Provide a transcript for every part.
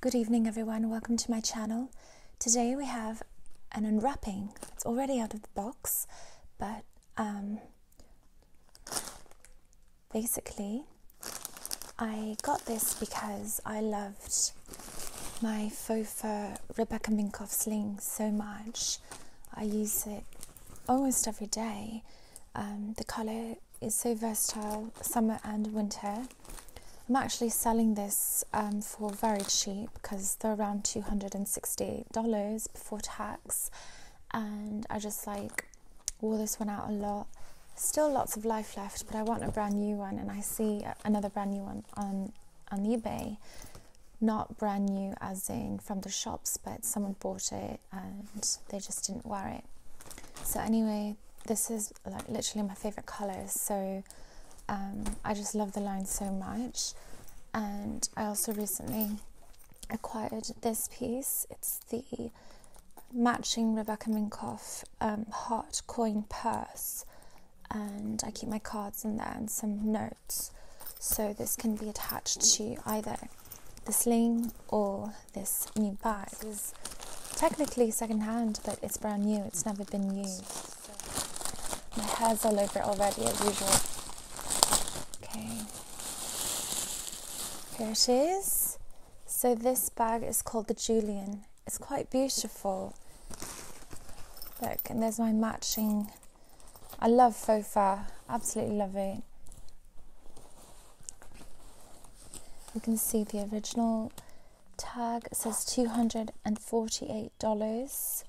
Good evening everyone, welcome to my channel. Today we have an unwrapping. It's already out of the box, but um, basically I got this because I loved my faux fur Rebecca Minkoff sling so much. I use it almost every day. Um, the color it's so versatile, summer and winter. I'm actually selling this um, for very cheap because they're around two hundred and sixty dollars before tax. And I just like wore this one out a lot. Still lots of life left, but I want a brand new one. And I see another brand new one on, on eBay. Not brand new as in from the shops, but someone bought it and they just didn't wear it. So anyway, this is like literally my favorite colors. So um, I just love the line so much. And I also recently acquired this piece. It's the matching Rebecca Minkoff um, heart coin purse. And I keep my cards in there and some notes. So this can be attached to either the sling or this new bag. is technically secondhand, but it's brand new. It's never been used. My hair's all over already, as usual. Okay. Here it is. So this bag is called the Julian. It's quite beautiful. Look, and there's my matching. I love faux fur. Absolutely love it. You can see the original tag says $248 there's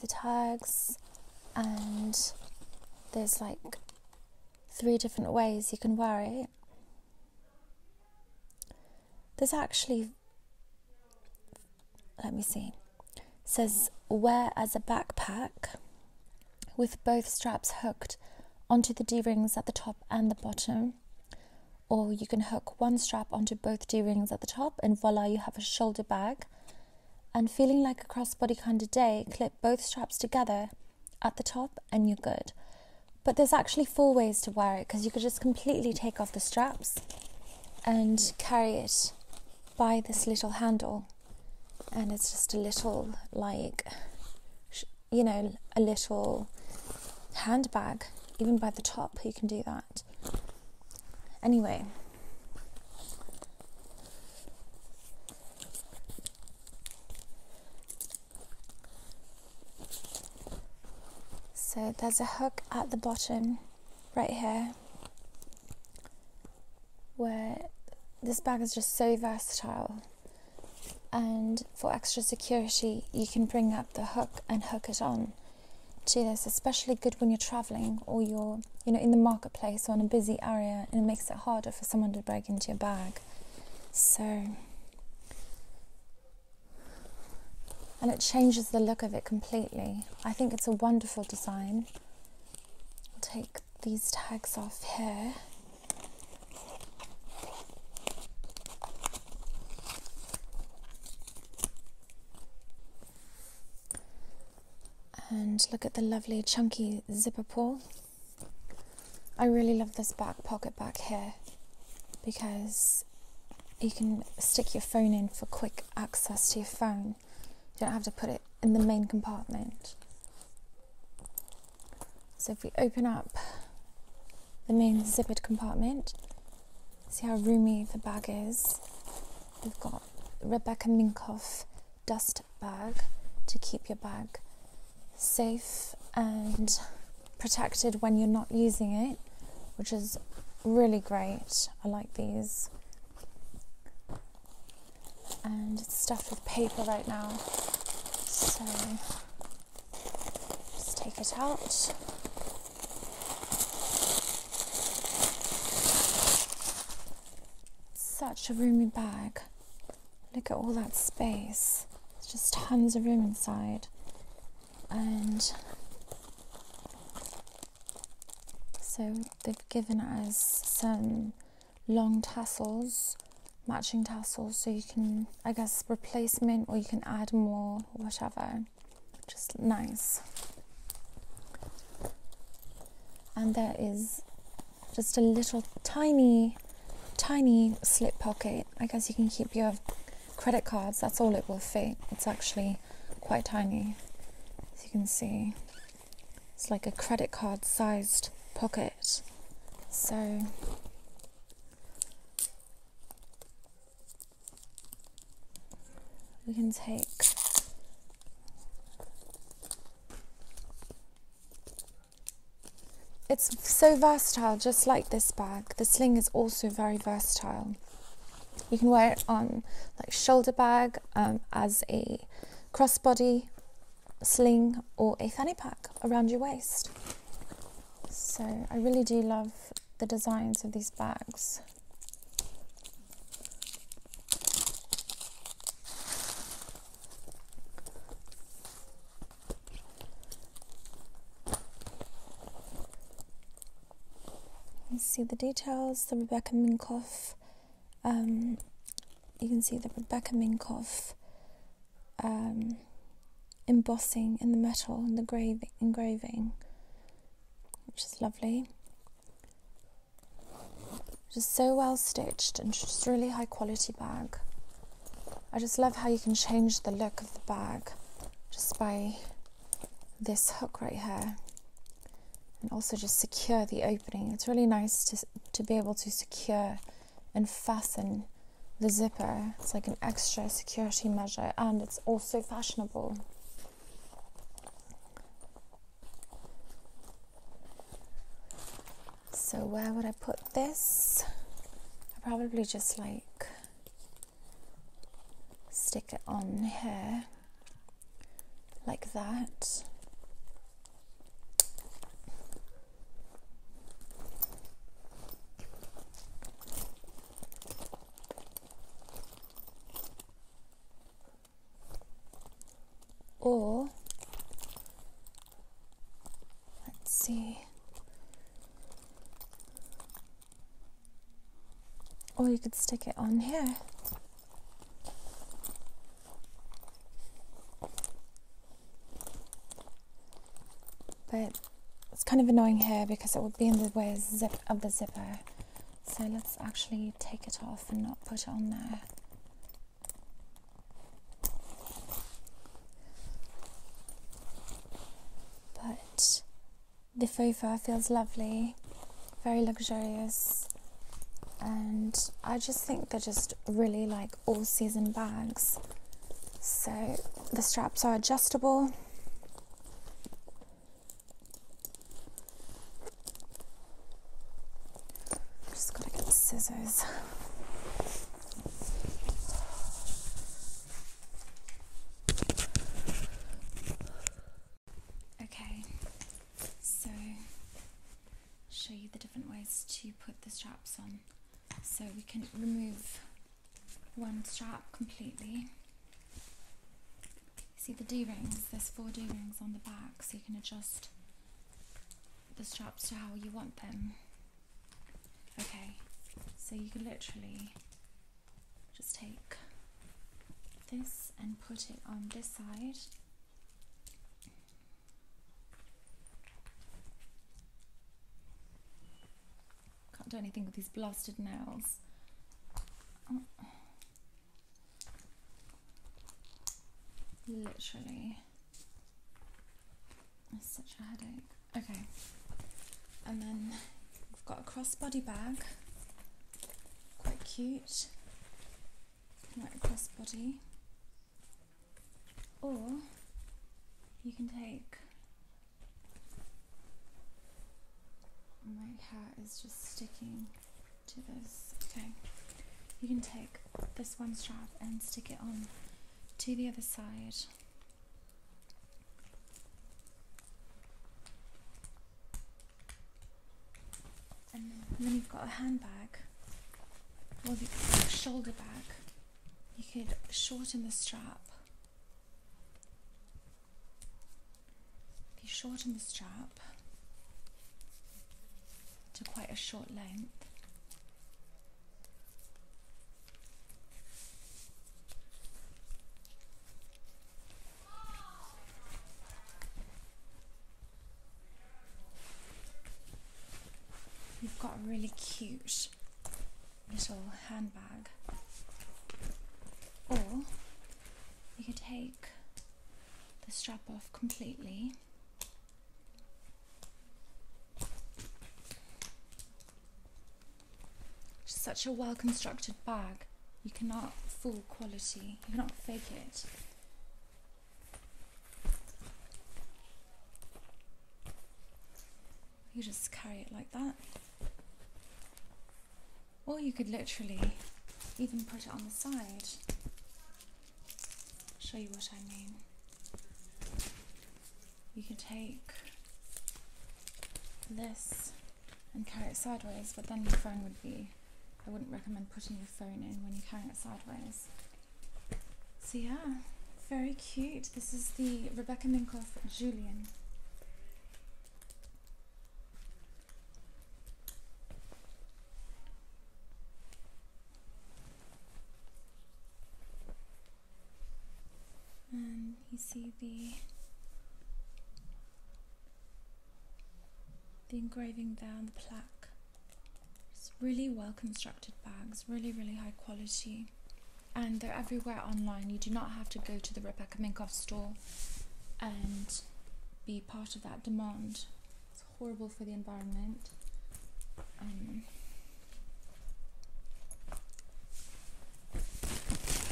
the tags and there's like three different ways you can wear it there's actually let me see says wear as a backpack with both straps hooked onto the D rings at the top and the bottom. Or you can hook one strap onto both D rings at the top, and voila, you have a shoulder bag. And feeling like a crossbody kind of day, clip both straps together at the top, and you're good. But there's actually four ways to wear it because you could just completely take off the straps and carry it by this little handle and it's just a little like you know a little handbag even by the top you can do that anyway so there's a hook at the bottom right here where this bag is just so versatile and for extra security you can bring up the hook and hook it on to this especially good when you're traveling or you're you know in the marketplace or in a busy area and it makes it harder for someone to break into your bag so and it changes the look of it completely i think it's a wonderful design i'll take these tags off here and look at the lovely chunky zipper pull. I really love this back pocket back here because you can stick your phone in for quick access to your phone. You don't have to put it in the main compartment. So if we open up the main zippered compartment, see how roomy the bag is. We've got Rebecca Minkoff dust bag to keep your bag safe and protected when you're not using it, which is really great. I like these and it's stuffed with paper right now. So just take it out. Such a roomy bag. Look at all that space. It's just tons of room inside. And so they've given us some long tassels, matching tassels, so you can, I guess, replacement or you can add more, whatever. Just nice. And there is just a little tiny, tiny slip pocket. I guess you can keep your credit cards, that's all it will fit. It's actually quite tiny, as you can see. It's like a credit card sized pocket. So we can take it's so versatile just like this bag the sling is also very versatile you can wear it on like shoulder bag um, as a crossbody sling or a fanny pack around your waist. So I really do love the designs of these bags. You can see the details, the Rebecca Minkoff. Um, you can see the Rebecca Minkoff um, embossing in the metal and the engraving, which is lovely. Just so well stitched and just really high quality bag. I just love how you can change the look of the bag just by this hook right here and also just secure the opening. It's really nice to, to be able to secure and fasten the zipper. It's like an extra security measure and it's also fashionable. So where would I put this? I probably just like stick it on here like that or let's see. Or you could stick it on here. But it's kind of annoying here because it would be in the way of the zipper. So let's actually take it off and not put it on there. But the faux feels lovely, very luxurious, and I just think they're just really like all season bags. So the straps are adjustable. Just gotta get scissors. Okay, so show you the different ways to put the straps on so we can remove one strap completely see the d-rings there's four d-rings on the back so you can adjust the straps to how you want them okay so you can literally just take this and put it on this side can't do anything with these blasted nails. Literally. It's such a headache. Okay. And then we've got a crossbody bag. Quite cute. Like crossbody or you can take my hat is just sticking to this okay you can take this one strap and stick it on to the other side then, and then you've got a handbag or the shoulder bag you could shorten the strap. If you shorten the strap to quite a short length, you've got really cute little handbag, or you could take the strap off completely. such a well constructed bag, you cannot fool quality, you cannot fake it. You just carry it like that. Or you could literally even put it on the side. show you what I mean. You can take this and carry it sideways, but then your phone would be. I wouldn't recommend putting your phone in when you're carrying it sideways. So yeah, very cute. This is the Rebecca Minkoff Julian. And you see the the engraving there on the plaque. It's really well constructed bags, really, really high quality and they're everywhere online. You do not have to go to the Rebecca Minkoff store and be part of that demand. It's horrible for the environment. Um,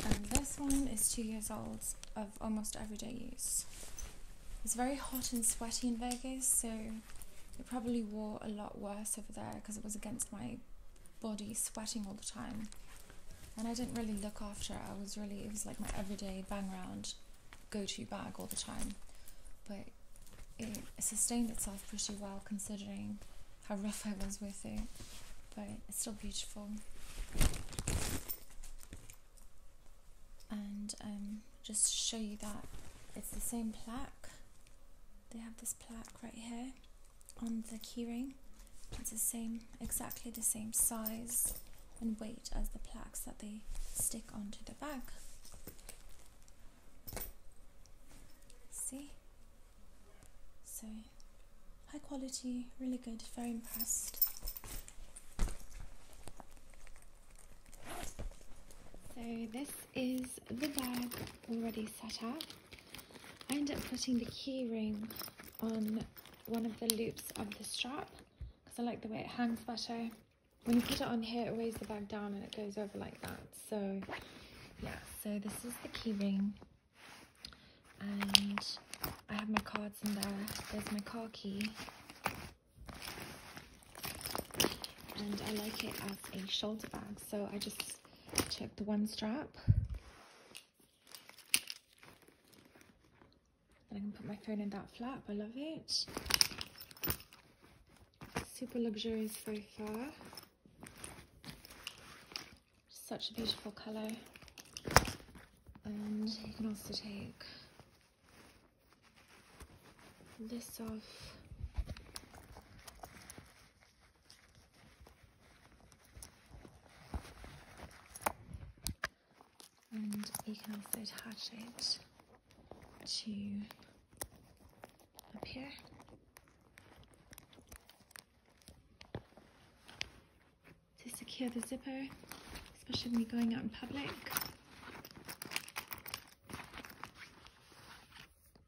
and this one is two years old of almost everyday use. It's very hot and sweaty in Vegas, so it probably wore a lot worse over there because it was against my body, sweating all the time. And I didn't really look after it. I was really, it was like my everyday bang around, go to bag all the time. But it sustained itself pretty well considering how rough I was with it. But it's still beautiful. And um, just show you that it's the same plaque they have this plaque right here on the keyring. It's the same, exactly the same size and weight as the plaques that they stick onto the bag. See? So, high quality, really good, very impressed. So this is the bag already set up. I end up putting the keyring on one of the loops of the strap because I like the way it hangs better. When you put it on here, it weighs the bag down and it goes over like that. So yeah, so this is the keyring, and I have my cards in there. There's my car key. And I like it as a shoulder bag, so I just Check the one strap. Then I can put my phone in that flap. I love it. Super luxurious so far. Such a beautiful colour. And you can also take this off and you can also attach it to up here. To secure the zipper, especially when you're going out in public.